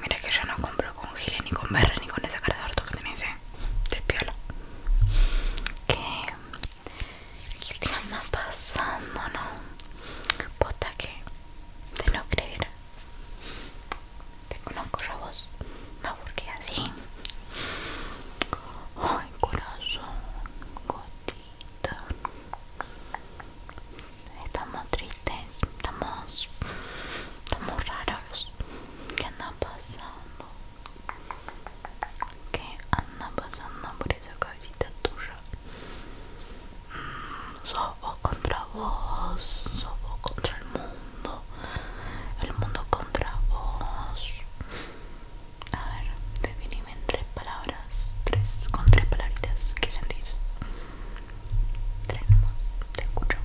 Mira que yo no compro con gilet, ni con Berre ni con esa cara de harto que tenés, ¿eh? De piola. ¿Qué? ¿Qué te anda pasando, no? Posta que. De no creer. Te conozco robos. a vos. No, porque así. Ay, corazón. Goti estamos tristes estamos estamos raros ¿Qué anda pasando? ¿Qué anda pasando por esa cabecita tuya? Mm, Soy vos contra vos, sos vos contra el mundo, el mundo contra vos. A ver, definime en tres palabras tres, con tres palabritas, ¿qué sentís? Tres nomás, te escucho.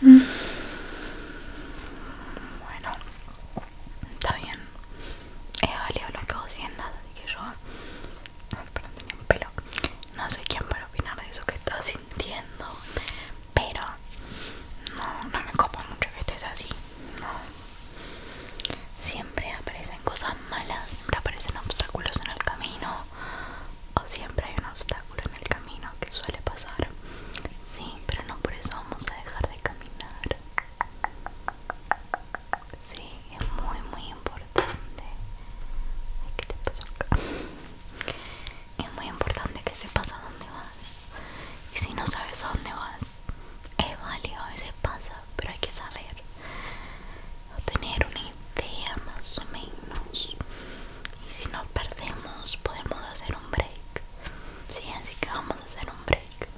Bueno, está bien. He valido lo que vos sientas, así que yo. perdón, tenía un pelo. No soy quien para opinar de eso que estás entiendo, pero no, me copo mucho que estés así no siempre aparecen cosas malas siempre aparecen obstáculos en el camino o siempre hay un obstáculo en el camino que suele pasar sí pero no por eso vamos a dejar de caminar sí es muy muy importante es muy importante que sepas a dónde vas. Y si no sabes a dónde vas, es válido, a veces pasa, pero hay que saber. O tener una idea más o menos. Y si nos perdemos, podemos hacer un break. Sí, así que vamos a hacer un break.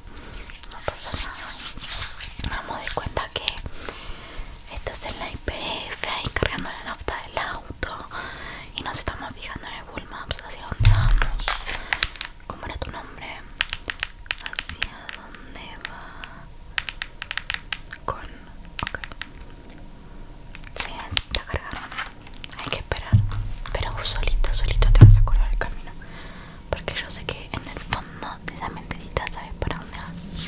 No pasa nada. Vamos de cuenta que estás en la IPF ahí cargando la nafta del auto y nos estamos fijando en el Google Maps hacia dónde vamos. ¿Cómo era tu nombre? ¿Hacia dónde va? Con. Ok. Sí, está cargado. Hay que esperar. Pero solito, solito te vas a acordar el camino. Porque yo sé que en el fondo de esa mentecita sabes para dónde vas.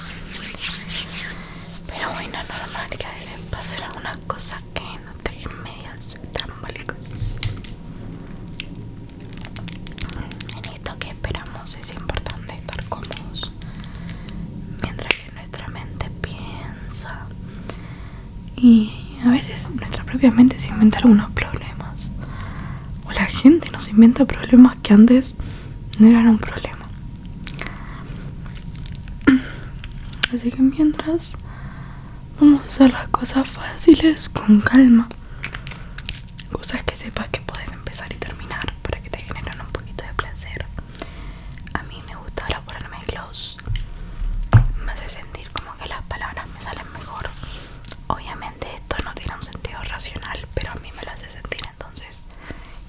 Pero bueno, normal que a veces pasen cosa cosas cosa que no te medios trambólicos. En esto que esperamos es importante estar cómodos mientras que nuestra mente piensa y a veces nuestra propia mente se inventa algunos problemas o la gente nos inventa problemas que antes no eran un problema Así que mientras vamos a hacer las cosas fáciles con calma. Cosas que sepas que puedes empezar y terminar para que te generen un poquito de placer. A mí me gusta ahora ponerme gloss. Me hace sentir como que las palabras me salen mejor. Obviamente esto no tiene un sentido racional, pero a mí me lo hace sentir entonces.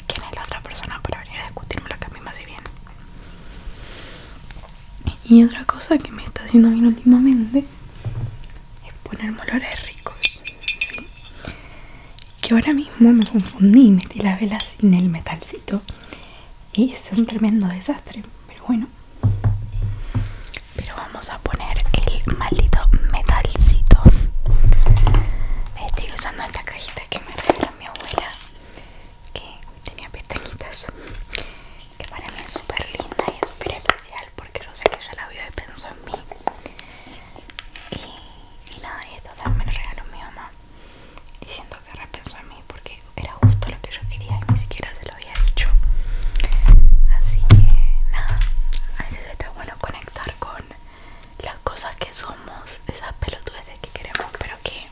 ¿Quién es la otra persona para venir a discutirme lo que a mí me hace bien? Y otra cosa que me está haciendo bien últimamente es poner molores ricos. Que ahora mismo me confundí y metí la vela sin el metalcito. Y es un tremendo desastre. Pero bueno. Pero vamos a poner el maldito metalcito. Estoy usando esta cajita que me regaló mi abuela que tenía pestañitas que para mí es súper linda y es súper especial porque yo sé que ella la vio y pensó en mí y, nada, y esto también me lo regaló mi mamá y siento que repensó en mí porque era justo lo que yo quería y ni siquiera se lo había dicho así que nada, a veces está bueno conectar con las cosas que somos, esas pelotudeces que queremos pero que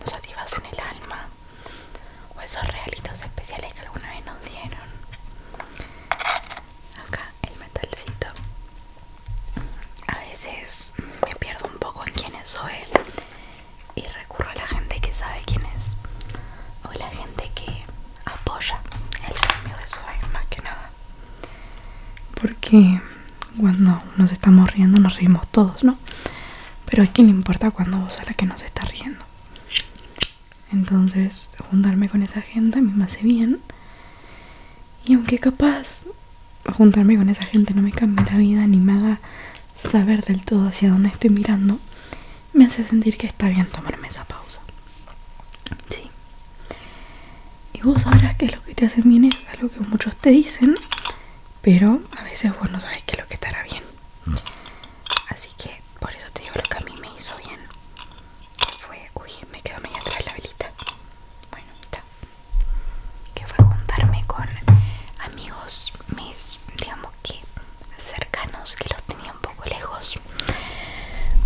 nos en el alma, o esos realitos especiales que alguna vez nos dieron. Acá el metalcito. A veces me pierdo un poco en quiénes soy y recurro a la gente que sabe quién es o la gente que apoya el cambio de su más que nada porque cuando nos estamos riendo nos reímos todos, ¿no? Pero es que le importa cuando vos a la que nos está riendo. Entonces, juntarme con esa gente a mí me hace bien. Y aunque capaz juntarme con esa gente no me cambie la vida ni me haga saber del todo hacia dónde estoy mirando, me hace sentir que está bien tomarme esa pausa. Sí. Y vos sabrás que lo que te hace bien, es algo que muchos te dicen, pero a veces vos no sabes que es lo que te hará bien. Mm. Así que por eso te digo lo que a mí me hizo bien. fue, uy, me quedo medio atrás la velita. Bueno, está. Que fue juntarme con amigos mis, digamos que cercanos, que los tenía un poco lejos.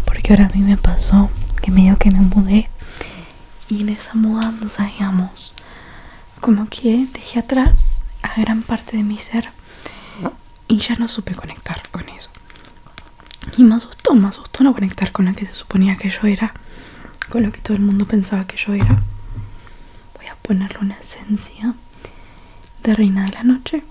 Porque ahora a mí me pasó que medio que me mudé y en esa mudanza, digamos, como que dejé atrás a gran parte de mi ser y ya no supe conectar con eso. Y me asustó, me asustó no conectar con la que se suponía que yo era, con lo que todo el mundo pensaba que yo era. Voy a ponerle una esencia de Reina de la Noche.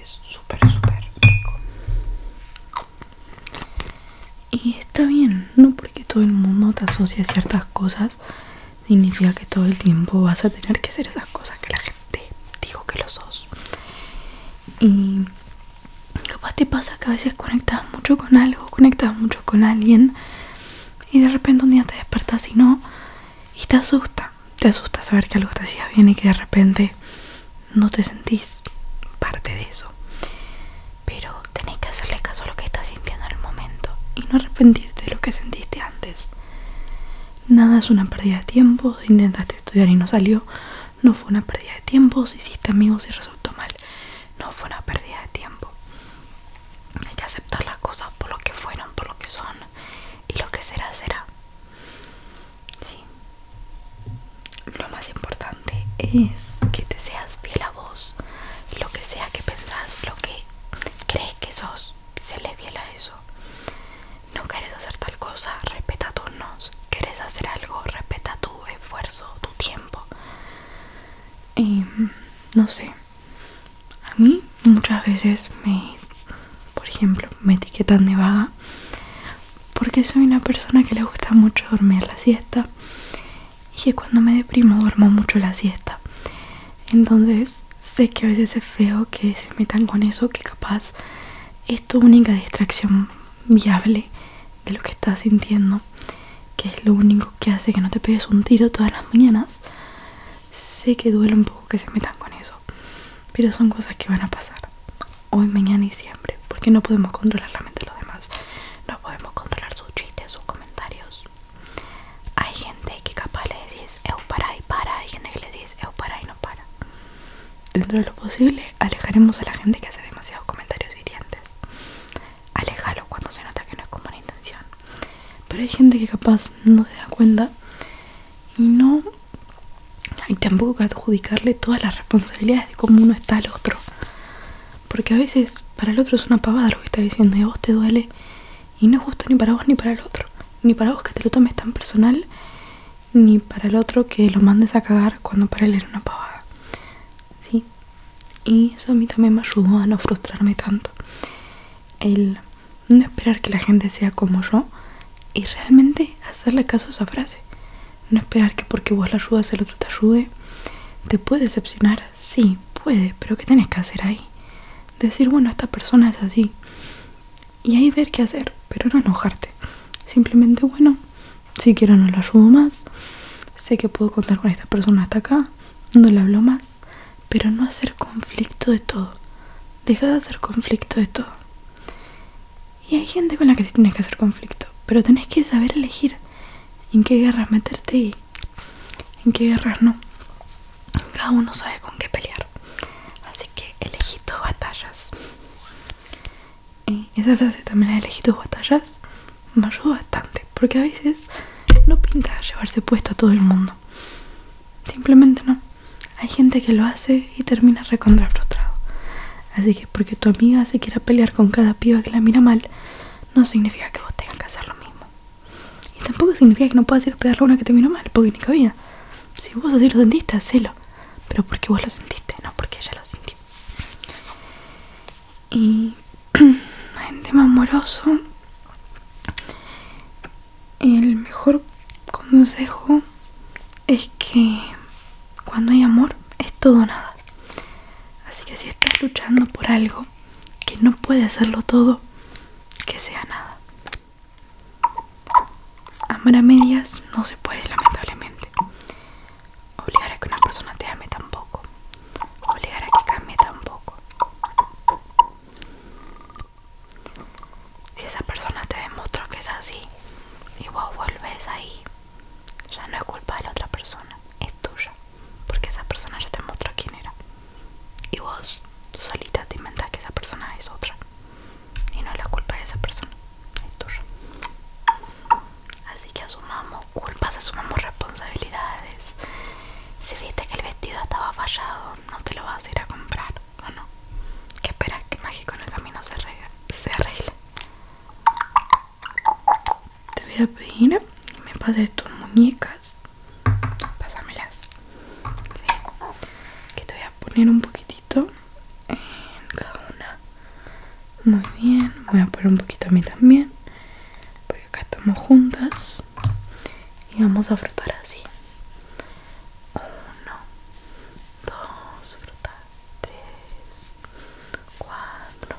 Es súper, súper rico. Y está bien, no porque todo el mundo te asocia a ciertas cosas, significa que todo el tiempo vas a tener que hacer esas cosas que la gente dijo que lo sos. Y capaz te pasa que a veces conectas mucho con algo, conectas mucho con alguien y de repente un día te despertas y no, y te asusta te asusta saber que algo te hacía bien y que de repente no te sentís parte de eso. Pero tenés que hacerle caso a lo que estás sintiendo en el momento y no arrepentirte de lo que sentiste antes. Nada es una pérdida de tiempo, intentaste estudiar y no salió, no fue una pérdida de tiempo, si hiciste amigos y resultó mal, no fue una pérdida de tiempo. Hay que aceptar las cosas por lo que fueron, por lo que son, y lo que será será. Sí. Lo más importante es que te seas fiel a vos, lo que sea que pensás, lo que crees que sos, se le fiel a eso. No querés hacer tal cosa, respeta tus nos. Querés hacer algo, respeta tu esfuerzo, tu tiempo. Y mm, no sé, a mí muchas veces me, por ejemplo, me etiquetan de vaga porque soy una persona que le gusta mucho dormir la siesta y que cuando me deprimo duermo mucho la siesta. Entonces sé que a veces es feo que se metan con eso, que capaz es tu única distracción viable de lo que estás sintiendo, que es lo único que hace que no te pegues un tiro todas las mañanas. Sé que duele un poco que se metan con eso, pero son cosas que van a pasar hoy, mañana y siempre, porque no podemos controlar la mente de los demás, no podemos controlar sus chistes, sus comentarios. Hay gente que capaz le decís eu para y para, hay gente que le dice, eu para y no para. Dentro de lo posible, alejaremos a la gente que hace demasiados comentarios hirientes. Alejalo cuando se nota que no es como una intención. Pero hay gente que capaz no se da cuenta y no hay tampoco que adjudicarle todas las responsabilidades de cómo uno está al otro. Porque a veces para el otro es una pavada lo que está diciendo y a vos te duele y no es justo ni para vos ni para el otro. Ni para vos que te lo tomes tan personal, ni para el otro que lo mandes a cagar cuando para él era una pavada. ¿Sí? Y eso a mí también me ayudó a no frustrarme tanto. El no esperar que la gente sea como yo y realmente hacerle caso a esa frase. No esperar que porque vos la ayudas el otro te ayude. ¿Te puede decepcionar? Sí, puede, pero ¿qué tienes que hacer ahí? Decir, bueno, esta persona es así. Y ahí ver qué hacer, pero no enojarte. Simplemente, bueno, si quiero no la ayudo más. Sé que puedo contar con esta persona hasta acá. No le hablo más pero no hacer conflicto de todo. Deja de hacer conflicto de todo. Y hay gente con la que sí tienes que hacer conflicto, pero tenés que saber elegir en qué guerras meterte y en qué guerras no. Cada uno sabe con qué pelear. Así que elegí tus batallas. Y esa frase también la tus batallas. Me ayuda bastante, porque a veces no pinta llevarse puesto a todo el mundo. Simplemente no. Hay gente que lo hace y termina recontra frustrado. Así que porque tu amiga se quiera pelear con cada piba que la mira mal, no significa que vos tengas que hacer lo mismo. Y tampoco significa que no puedas ir a pegarle a una que te mira mal, porque ni cabida Si vos así lo sentiste, hacelo. Pero porque vos lo sentiste, no porque ella lo sintió. Y un tema amoroso, el mejor consejo es que cuando hay amor es todo nada. Así que si estás luchando por algo que no puede hacerlo todo, que sea nada. Amar a medias no se puede, lamentablemente. Obligar a que una persona te ame tampoco. Obligar a que cambie tampoco. Si esa persona te demostró que es así y vos vuelves ahí, ya no es culpa de la otra persona, es tuya, porque esa persona ya te mostró quién era. Y vos solita te inventas que esa persona es otra. Y no es la culpa de esa persona, es tuya. Así que asumamos culpas, asumamos responsabilidades. Si viste que el vestido estaba fallado, no te lo vas a ir a comprar, ¿o no? que esperas? Que mágico en el camino se arregle. Se Te voy a pedir que me pases tus muñecas. Pásamelas. Que te voy a poner un poquitito en cada una. Muy bien. Voy a poner un poquito a mí también acá estamos juntas y vamos a frotar así uno dos tres cuatro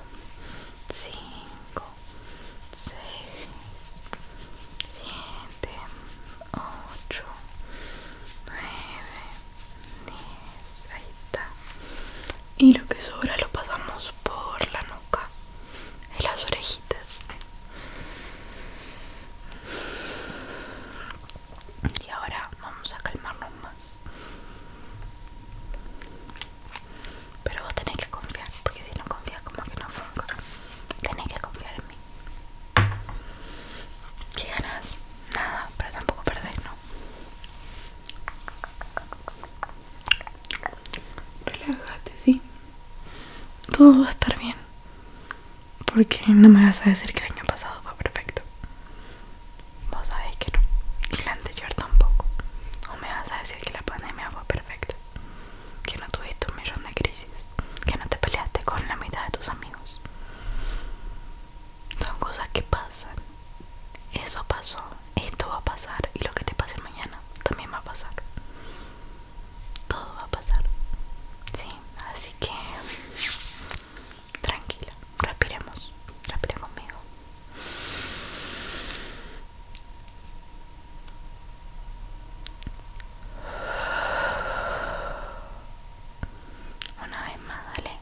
cinco seis siete ocho nueve diez ahí está y lo que sobra lo pasamos por la nuca en las orejitas. Y ahora vamos a calmarnos más. Pero vos tenés que confiar, porque si no confías como que no funciona. Tenés que confiar en mí. que ganas? Nada, pero tampoco perdés, ¿no? Relájate, ¿sí? Todo va a estar bien. Porque no me vas a decir que el año pasado fue perfecto. Vos sabés que no. Y la anterior tampoco. O me vas a decir que la pandemia fue perfecta. Que no tuviste un millón de crisis. Que no te peleaste con la mitad de tus amigos. Son cosas que pasan. Eso pasó esto va a pasar y lo que te pase mañana también va a pasar. Todo va a pasar. Sí, así que tranquila, respiremos, respira conmigo. Una vez más, dale.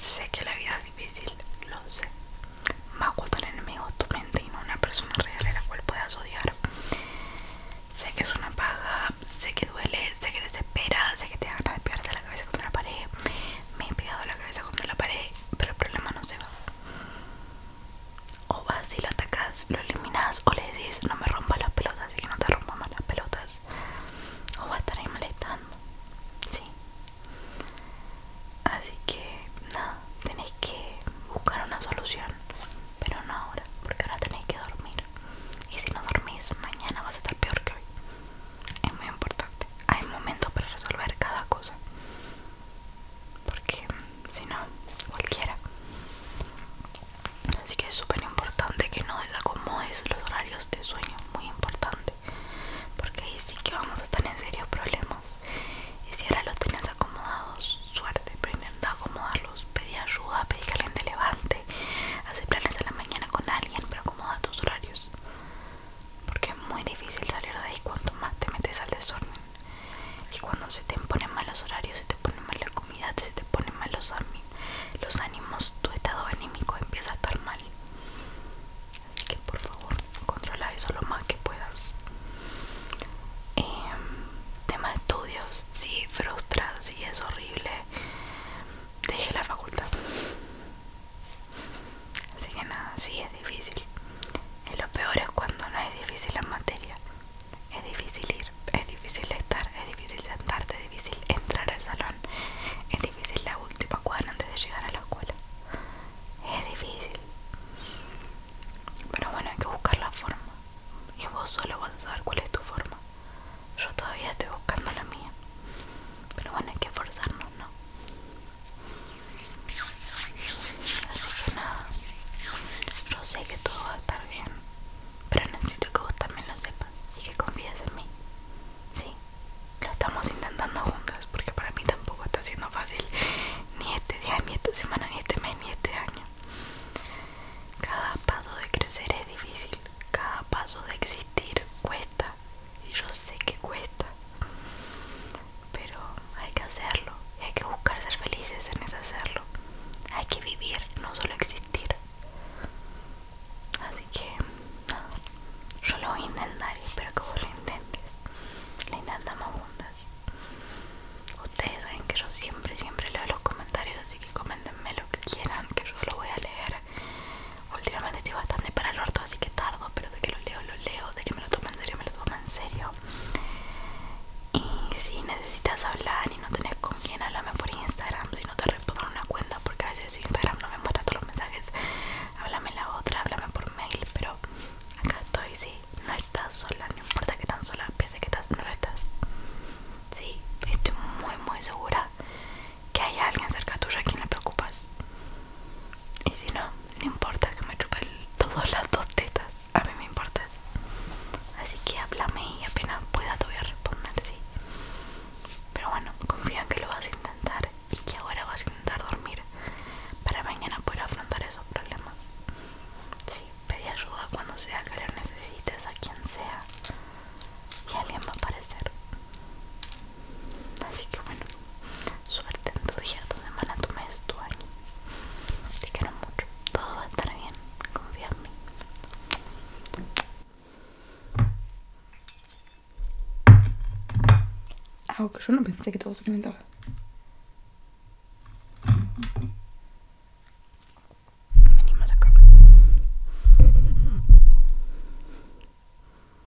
Sé que la vida es difícil, lo sé. Más cuando el enemigo tu mente y no una persona real a la cual puedas odiar. Sé que es una paja, sé que duele, sé que desespera, sé que te hagas de la cabeza contra la pared. Me he pegado la cabeza contra la pared, pero el problema no se va o vas y lo atacas, lo eliminas o le decís no me rompas las pelotas así que no te rompas más las pelotas o vas a estar ahí molestando, sí. Así que nada, tenéis que buscar una solución, pero no ahora, porque ahora tenéis que dormir. Y si no dormís, mañana vas a estar peor que hoy. Es muy importante. Hay momentos para resolver cada cosa porque si no cualquiera así que es súper importante que no desacomodes los horarios de sueño muy importante porque ahí sí que vamos a estar en serios problemas y si ahora los tienes acomodados suerte pero intenta acomodarlos pedí ayuda pedí que alguien te levante hace planes a la mañana con alguien pero acomoda tus horarios porque es muy difícil salir de ahí cuanto más te metes al desorden y cuando se te ponen malos horarios se te ponen mal la comida se te ponen mal los, los ánimos tu estado anímico empieza a estar mal así que por favor controla eso lo más que puedas temas tema de estudios si sí, frustra si sí, es horrible deje la facultad Así que nada, sí es difícil. Y lo peor es cuando no es difícil la materia. Es difícil ir, es difícil estar, es difícil sentarte, es difícil entrar al salón. Es difícil la última cuadra antes de llegar a la escuela. Es difícil. Pero bueno, hay que buscar la forma. Y vos solo vas a saber cuál es tu forma. Yo todavía estoy buscando la mía. Pero bueno, hay que esforzarnos, ¿no? Así que nada, yo sé que todo va a estar bien, pero necesito que vos también lo sepas y que confíes en mí. Sí, lo estamos intentando juntas porque para mí tampoco está siendo fácil ni este día, ni esta semana, ni este mes, ni este año. Cada paso de crecer es difícil, cada paso de existir cuesta, y yo sé que cuesta. Pero hay que hacerlo. Y hay que buscar ser felices en ese hacerlo. Hay que vivir, no solo existir. Así que nada. Yo lo voy a intentar y espero que vos lo intentes. Lo intentamos juntas. Ustedes saben que yo siempre, siempre leo los comentarios, así que coméntenme lo que quieran, que yo lo voy a leer. Últimamente estoy bastante para el orto, así que tardo, pero de que lo leo, lo leo, de que me lo tomen en serio, me lo tomen en serio. Y si necesitas hablar y no tenés con quién, háblame por Instagram. Si no te respondo una cuenta, porque a veces Instagram no me muestra todos los mensajes, háblame la otra, háblame por mail. Pero acá estoy, sí, no estás sola, no importa que tan sola pienses que estás, no lo estás. Sí, estoy muy, muy segura que hay alguien cerca tuya a quien le preocupas. Y si no, le importa que me chupen todas las dos tetas. A mí me importa eso. Así que háblame y apenas pueda todavía voy responder, sí. Pero bueno, confía en que lo vas a intentar y que ahora vas a intentar dormir para mañana poder afrontar esos problemas. Sí, pedí ayuda cuando sea que lo necesites a quien sea y alguien va a aparecer. Así que bueno, suerte en tu día, tu semana, tu mes, tu año. Te quiero mucho. Todo va a estar bien. Confía en mí. Ah, que yo no pensé que todo se comentaba. Venimos acá.